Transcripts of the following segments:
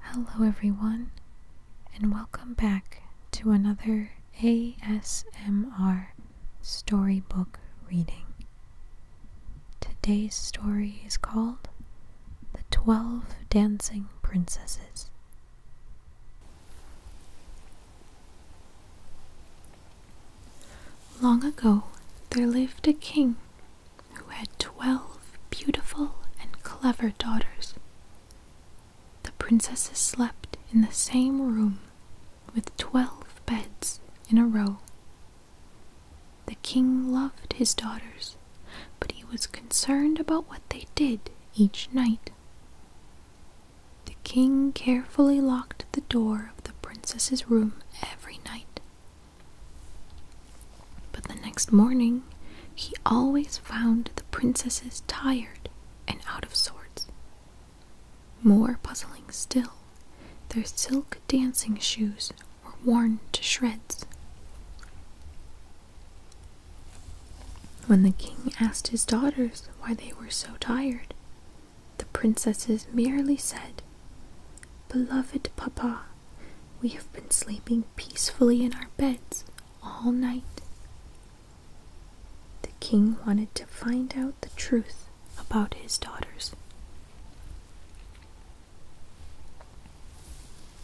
Hello, everyone, and welcome back to another ASMR storybook reading. Today's story is called The Twelve Dancing Princesses. Long ago, there lived a king who had twelve beautiful and clever daughters. The princesses slept in the same room with twelve beds in a row. The king loved his daughters, but he was concerned about what they did each night. The king carefully locked the door of the princess's room every night but the next morning he always found the princesses tired and out of sorts. More puzzling still, their silk dancing shoes were worn to shreds. When the king asked his daughters why they were so tired, the princesses merely said, Beloved Papa, we have been sleeping peacefully in our beds all night. The king wanted to find out the truth about his daughters.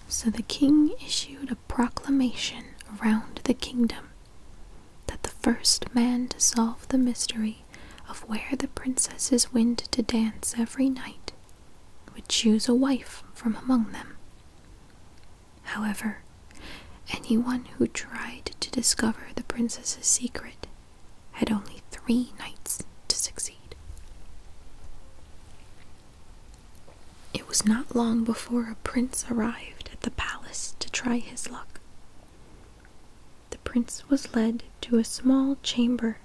So the king issued a proclamation round the kingdom that the first man to solve the mystery of where the princesses went to dance every night would choose a wife from among them. However, anyone who tried to discover the princess's secret had only three nights to succeed. It was not long before a prince arrived at the palace to try his luck. The prince was led to a small chamber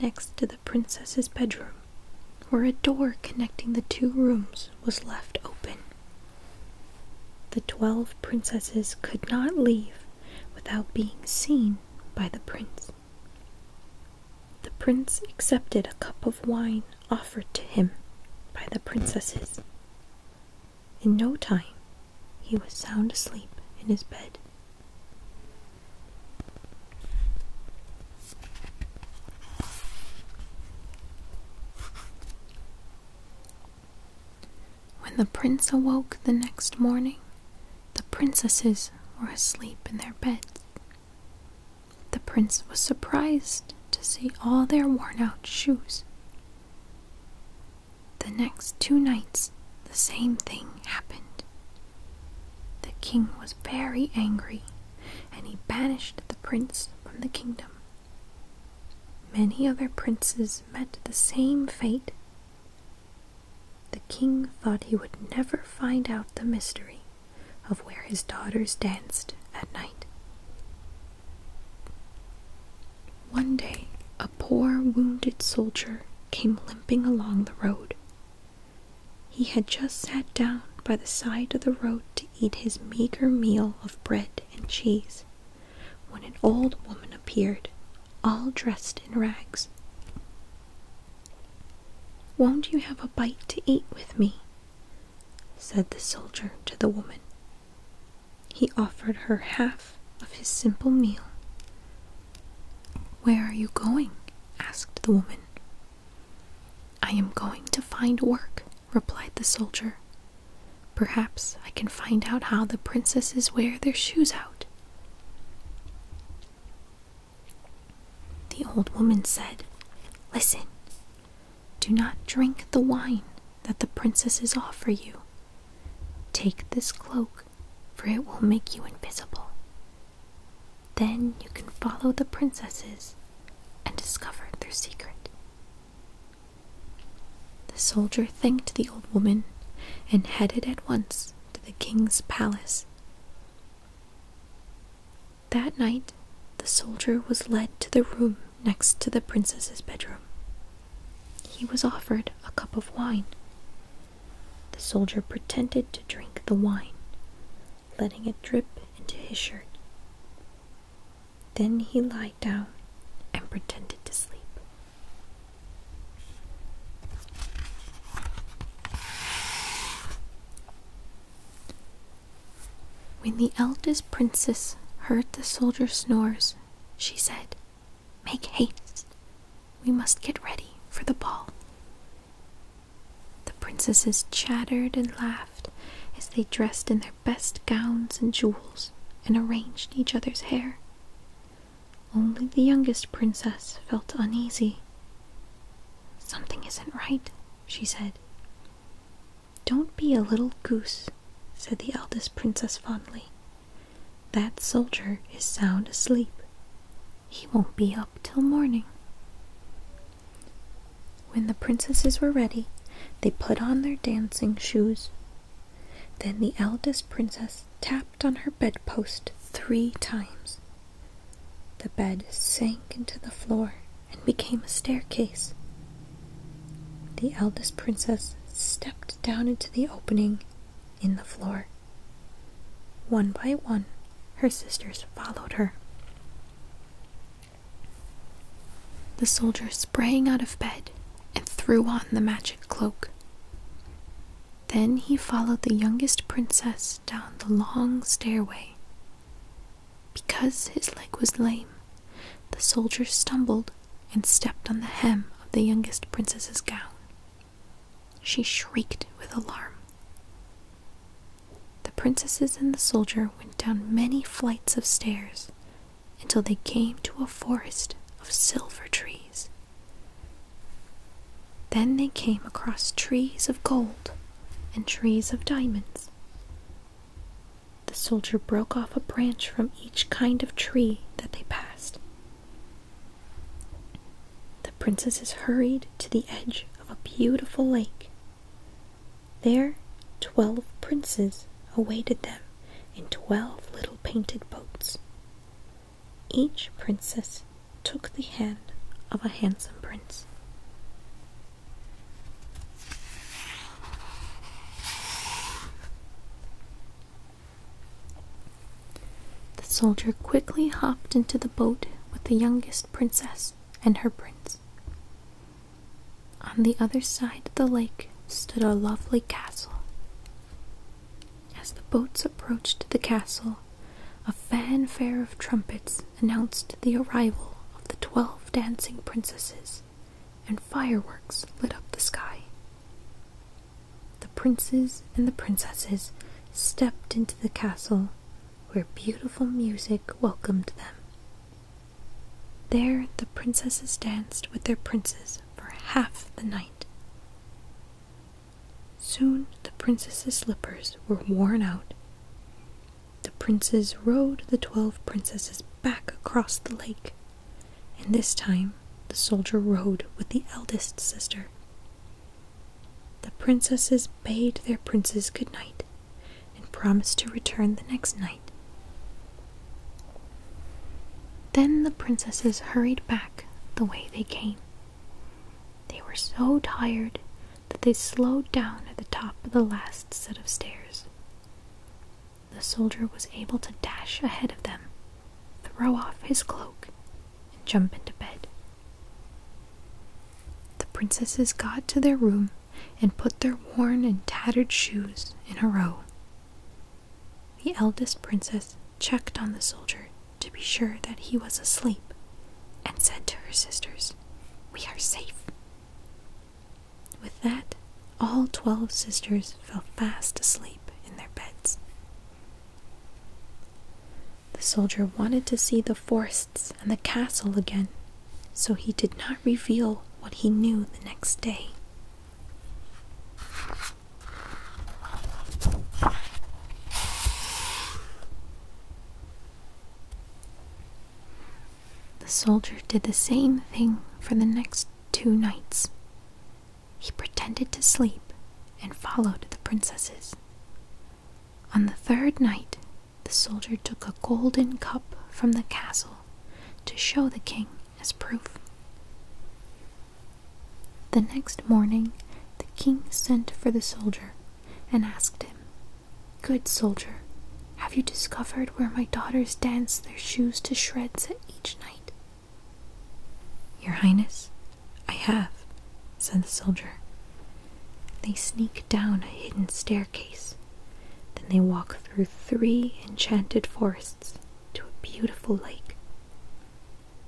next to the princess's bedroom, where a door connecting the two rooms was left open. The twelve princesses could not leave without being seen by the prince. The prince accepted a cup of wine offered to him by the princesses. In no time, he was sound asleep in his bed. When the prince awoke the next morning, the princesses were asleep in their beds. The prince was surprised to see all their worn out shoes. The next two nights, the same thing happened. The king was very angry, and he banished the prince from the kingdom. Many other princes met the same fate. The king thought he would never find out the mystery of where his daughters danced at night. One day, a poor wounded soldier came limping along the road. He had just sat down by the side of the road to eat his meager meal of bread and cheese when an old woman appeared, all dressed in rags. Won't you have a bite to eat with me? said the soldier to the woman. He offered her half of his simple meal. Where are you going? asked the woman. I am going to find work, replied the soldier. Perhaps I can find out how the princesses wear their shoes out. The old woman said, Listen, do not drink the wine that the princesses offer you. Take this cloak for it will make you invisible. Then you can follow the princesses and discover their secret. The soldier thanked the old woman and headed at once to the king's palace. That night, the soldier was led to the room next to the princess's bedroom, he was offered a cup of wine. The soldier pretended to drink the wine, letting it drip into his shirt. Then he lied down and pretended to sleep. When the eldest princess heard the soldier's snores, she said, Make haste. We must get ready for the ball. The princesses chattered and laughed as they dressed in their best gowns and jewels and arranged each other's hair. Only the youngest princess felt uneasy. Something isn't right, she said. Don't be a little goose, said the eldest princess fondly. That soldier is sound asleep. He won't be up till morning. When the princesses were ready, they put on their dancing shoes. Then the eldest princess tapped on her bedpost three times. The bed sank into the floor and became a staircase the eldest princess stepped down into the opening in the floor. One by one, her sisters followed her. The soldier sprang out of bed and threw on the magic cloak. Then he followed the youngest princess down the long stairway. Because his leg was lame, the soldier stumbled and stepped on the hem of the youngest princess's gown. She shrieked with alarm. The princesses and the soldier went down many flights of stairs until they came to a forest of silver trees. Then they came across trees of gold and trees of diamonds. The soldier broke off a branch from each kind of tree that they passed. The princesses hurried to the edge of a beautiful lake. There, twelve princes awaited them in twelve little painted boats. Each princess took the hand of a handsome prince. The soldier quickly hopped into the boat with the youngest princess and her prince. On the other side of the lake stood a lovely castle. As the boats approached the castle, a fanfare of trumpets announced the arrival of the twelve dancing princesses and fireworks lit up the sky. The princes and the princesses stepped into the castle where beautiful music welcomed them. There the princesses danced with their princes for half the night. Soon the princesses' slippers were worn out. The princes rowed the twelve princesses back across the lake and this time the soldier rode with the eldest sister. The princesses bade their princes good night and promised to return the next night. Then the princesses hurried back the way they came. They were so tired that they slowed down at the top of the last set of stairs the soldier was able to dash ahead of them, throw off his cloak, and jump into bed. The princesses got to their room and put their worn and tattered shoes in a row. The eldest princess checked on the soldier to be sure that he was asleep and said to her sisters, We are safe. With that, all twelve sisters fell fast asleep in their beds. The soldier wanted to see the forests and the castle again, so he did not reveal what he knew the next day. The soldier did the same thing for the next two nights. He pretended to sleep and followed the princesses. On the third night, the soldier took a golden cup from the castle to show the king as proof. The next morning, the king sent for the soldier and asked him Good soldier, have you discovered where my daughters dance their shoes to shreds each night? Your Highness, I have, said the soldier. They sneak down a hidden staircase. Then they walk through three enchanted forests to a beautiful lake.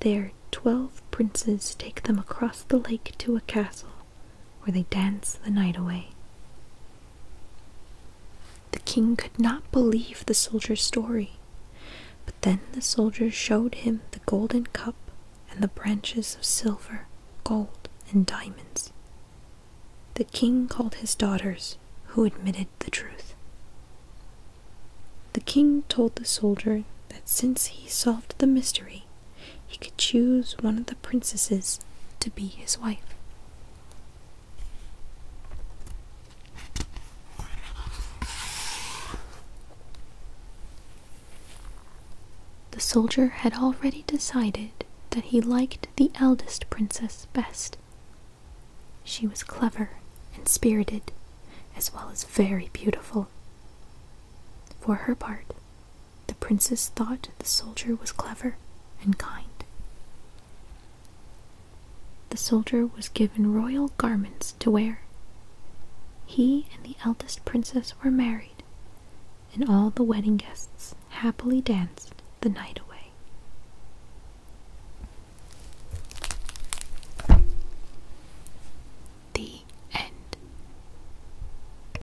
There, twelve princes take them across the lake to a castle where they danced the night away. The king could not believe the soldier's story, but then the soldier showed him the golden cup and the branches of silver, gold, and diamonds. The king called his daughters, who admitted the truth. The king told the soldier that since he solved the mystery, he could choose one of the princesses to be his wife. The soldier had already decided that he liked the eldest princess best. She was clever and spirited, as well as very beautiful. For her part, the princess thought the soldier was clever and kind. The soldier was given royal garments to wear. He and the eldest princess were married, and all the wedding guests happily danced the night away. The end.